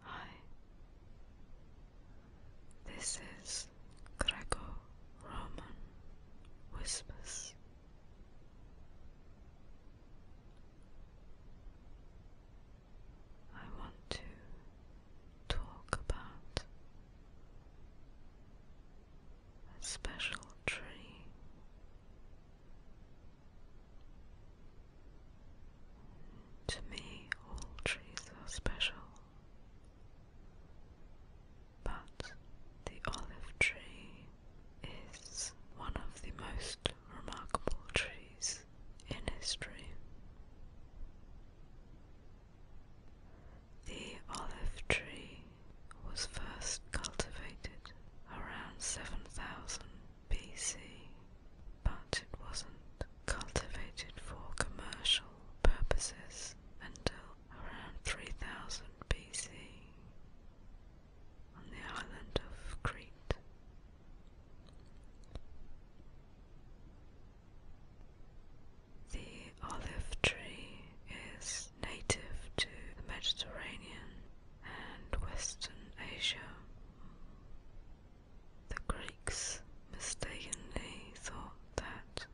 Hi, this is Greco Roman Whispers. I want to talk about a special tree. To me, all trees are special, but the olive tree is one of the most remarkable trees in history. The olive tree was first cultivated around 7,000 BC, but it wasn't cultivated for commercial purposes until around 3000 BC on the island of Crete. The olive tree is native to the Mediterranean and Western Asia. The Greeks mistakenly thought that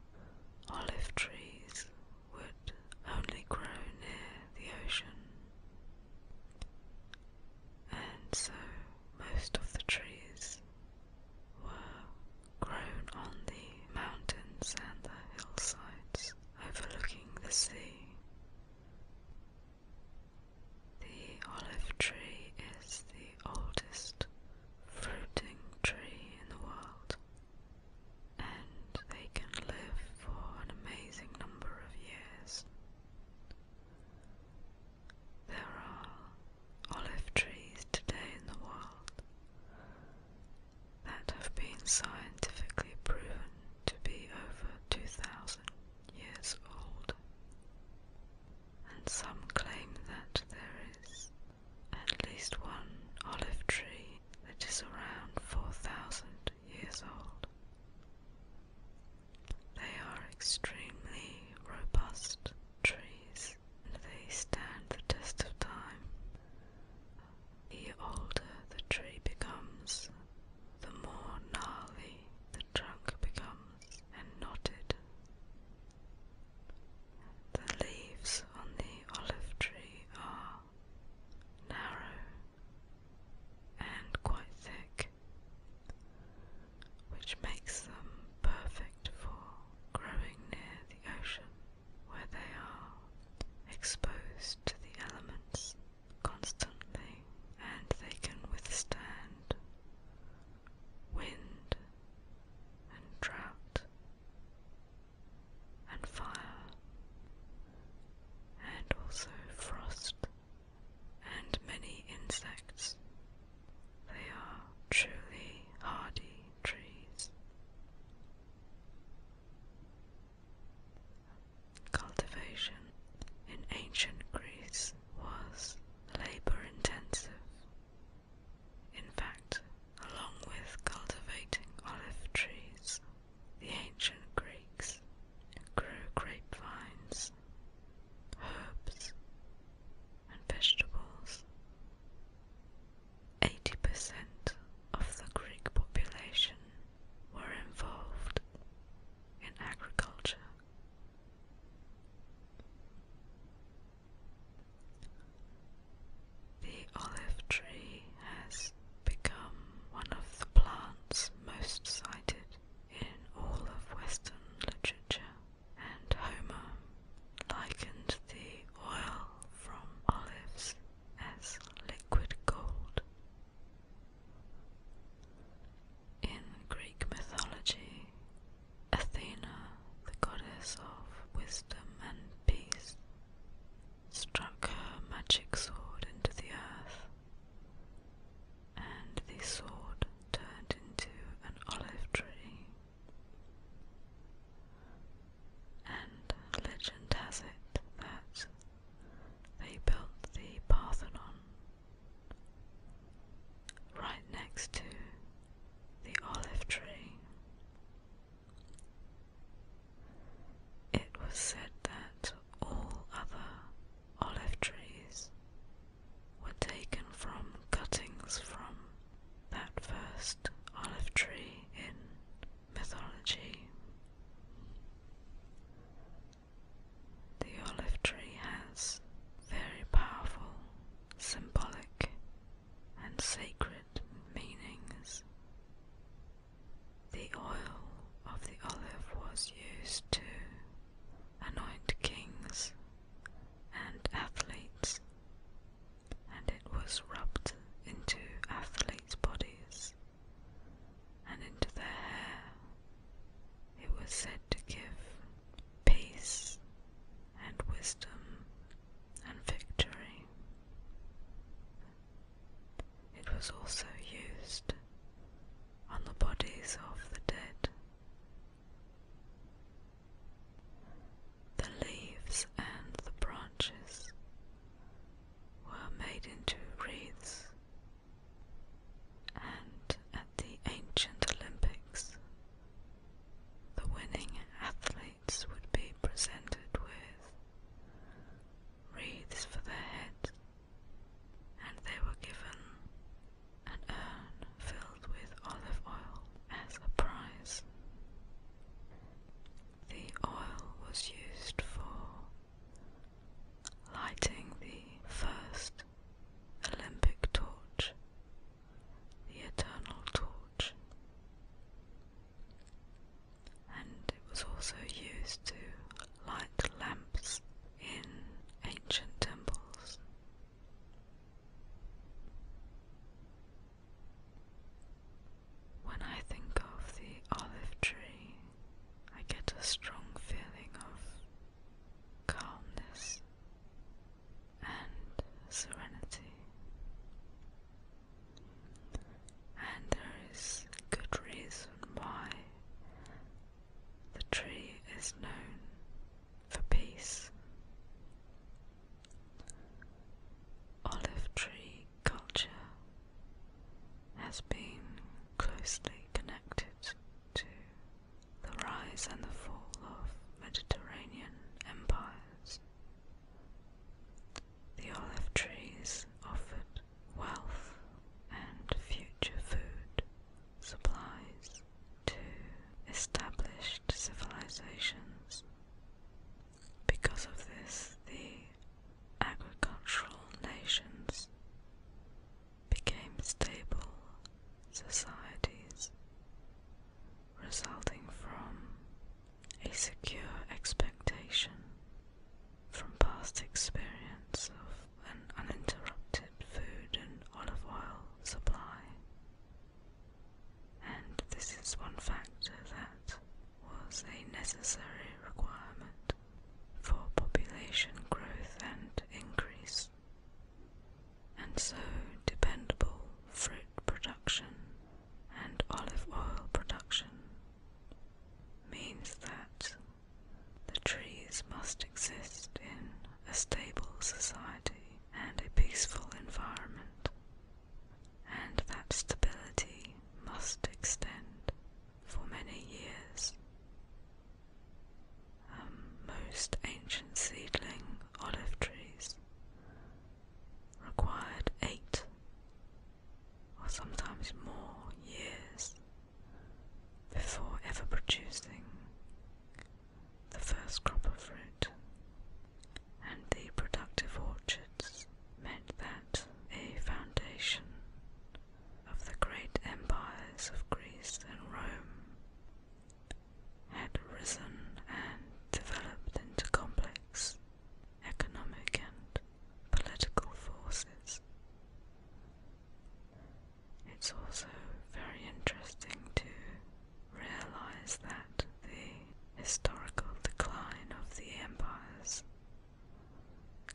olive trees would only grow near the ocean, and so most of the trees were grown on the mountains and the hillsides overlooking the sea. The olive tree is the oldest fruiting tree in the world, and they can live for an amazing number of years. There are olive trees today in the world that have been scientifically proven to be over 2,000 years old and some claim that there is at least one olive tree that is around 4,000 years old. They are extremely robust trees and they stand the test of time. The older the tree becomes, the more gnarly the trunk becomes and knotted. The leaves on the olive tree are narrow and quite thick, which makes them perfect for growing near the ocean, where they are exposed to the elements constantly and they can withstand wind and drought and fire and also frost and many insects. They are truly hardy trees. Cultivation in ancient Greece was labor intensive. In fact, along with cultivating olive trees, the ancient Greeks grew grapevines, herbs, and vegetables. 80% of the Greek population were involved in agriculture the olive tree has become one of the plants most cited in all of Western literature, and Homer likened the oil from olives as liquid gold. In Greek mythology, Athena, the goddess of wisdom and peace, struck her magic sword into the earth, and the sword turned into an olive tree. And legend has it that they built the Parthenon right next to the olive tree. It was said that all other olive trees were taken from cuttings from that first olive tree in mythology. The olive tree has very powerful symbolic and sacred meanings. The oil of the olive was used to anoint kings and athletes, and it was rubbed into athletes' bodies and into their hair it was said to give peace and wisdom and victory. It was also used on the bodies of the dead. The leaves and the branches were made into wreaths and at the ancient Olympics, the winning athletes would be presented with wreaths for their head, and they were given an urn filled with olive oil as a prize. The oil was used for lighting the first Olympic torch, the eternal torch. And it was also used to light lamps in ancient temples. When I think of the olive tree, I get a strong feeling of calmness, and serenity. And there is good reason why the tree is known for peace. Olive tree culture has been closely connected to the rise and the fall of Mediterranean empires. The olive trees offered wealth and future food supplies to established civilizations. Because of this, the agricultural nations became stable societies, resulting from a secure expectation from past experience of an uninterrupted food and olive oil supply. And this is one factor that was a necessary requirement for population growth and increase and so dependable fruit production and olive oil production means that the trees must exist in a stable society and a peaceful environment, and that stability must extend for many years. Um, most ancient seedling olive trees required eight or sometimes more years before ever producing the first crop of fruit. And the productive orchards meant that a foundation of the great empires of Greece and Rome had risen and developed into complex economic and political forces. It's also very interesting to realize that the historical decline of the empires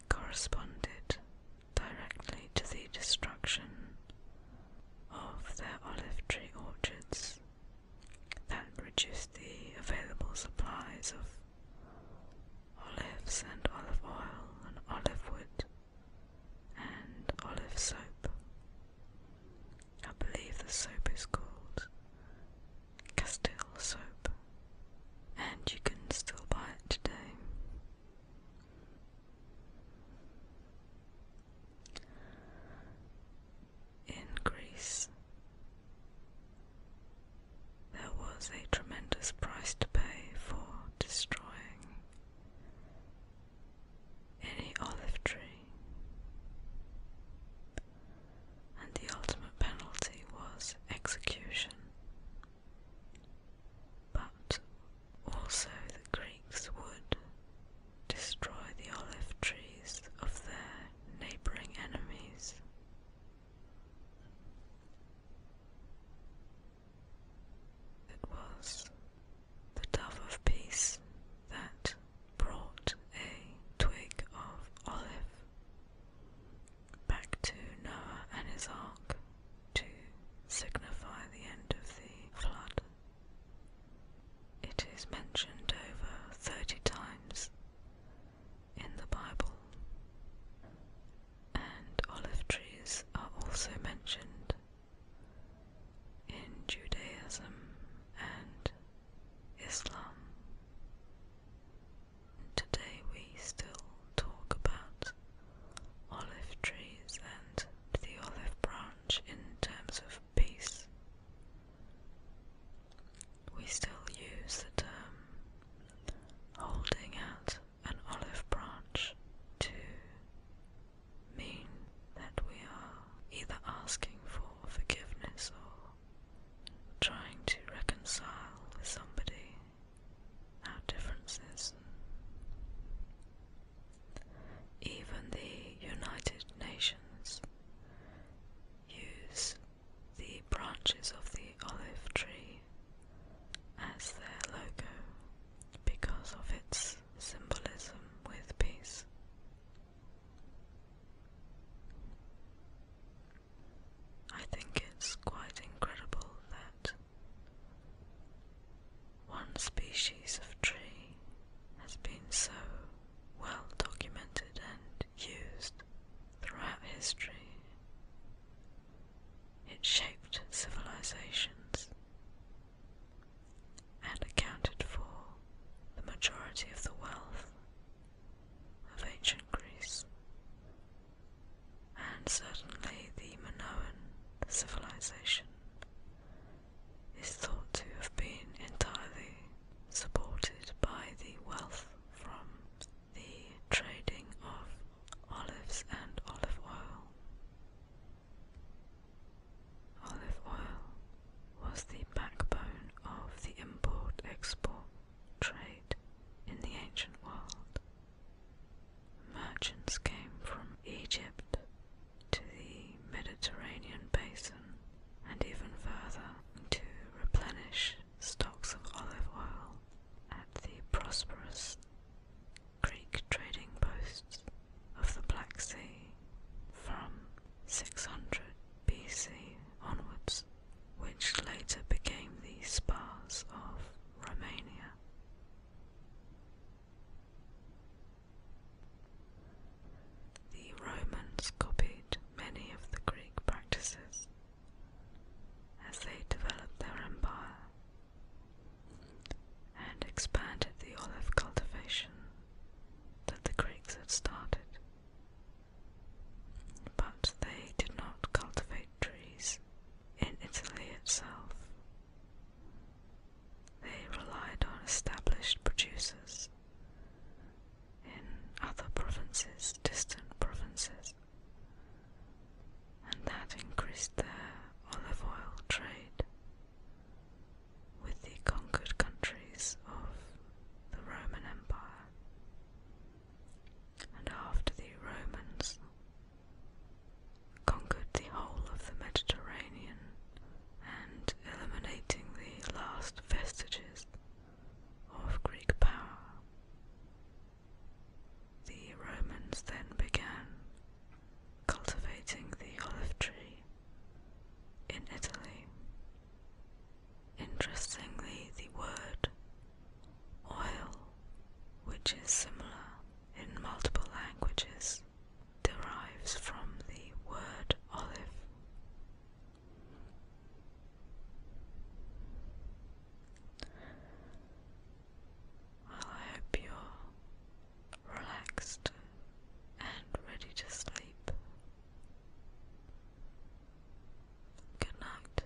corresponded directly to the destruction of their olive tree orchards that reduced the available supplies of olives and olive oil and olive wood and olive soap. I believe the soap is called Castile soap, and you can still buy it today. Increase. There was a tremendous price to pay for destroying any olive tree, and the ultimate penalty was execution. But also the Greeks would destroy the olive trees of their neighboring enemies. It was the dove of peace that brought a twig of olive back to Noah and his ark to signify the end of the flood. It is mentioned over 30 times in the Bible, and olive trees are also mentioned in Judaism and Islam. Today we still talk about olive trees and the olive branch in terms of peace. We still use the term holding out an olive branch to mean that we are either asking for forgiveness or trying to reconcile with somebody our differences. Even the United Nations use the branches of the olive tree as their logo because of its symbolism with peace. I think it's quite incredible that one species of tree has been so well documented and used throughout history. It shaped civilizations and accounted for the majority of the wealth of ancient Greece and certainly the Minoan civilization is thought to have been entirely supported by the wealth from the trading of olives and olive oil. Olive oil was the backbone of the import export trade in the ancient world merchants came from Egypt to the Mediterranean basin and even further to replenish stocks of olive oil at the prosperous Greek trading posts of the Black Sea from 600 BC onwards, which later became the spas of Romania. The Romans copied many of the Greek practices as they developed their empire and expanded the olive cultivation that the Greeks had started. But they did not cultivate trees in Italy itself. They relied on established producers in other provinces, distant provinces, and that increased their olive oil trade with the conquered countries of the Roman Empire. And after the Romans conquered the whole of the Mediterranean and eliminating the last vestiges of Greek power. The Romans then began cultivating the olive tree in Italy. Interestingly, the word oil, which is similar in multiple languages, derives from the word olive. Well, I hope you're relaxed and ready to sleep. Good night.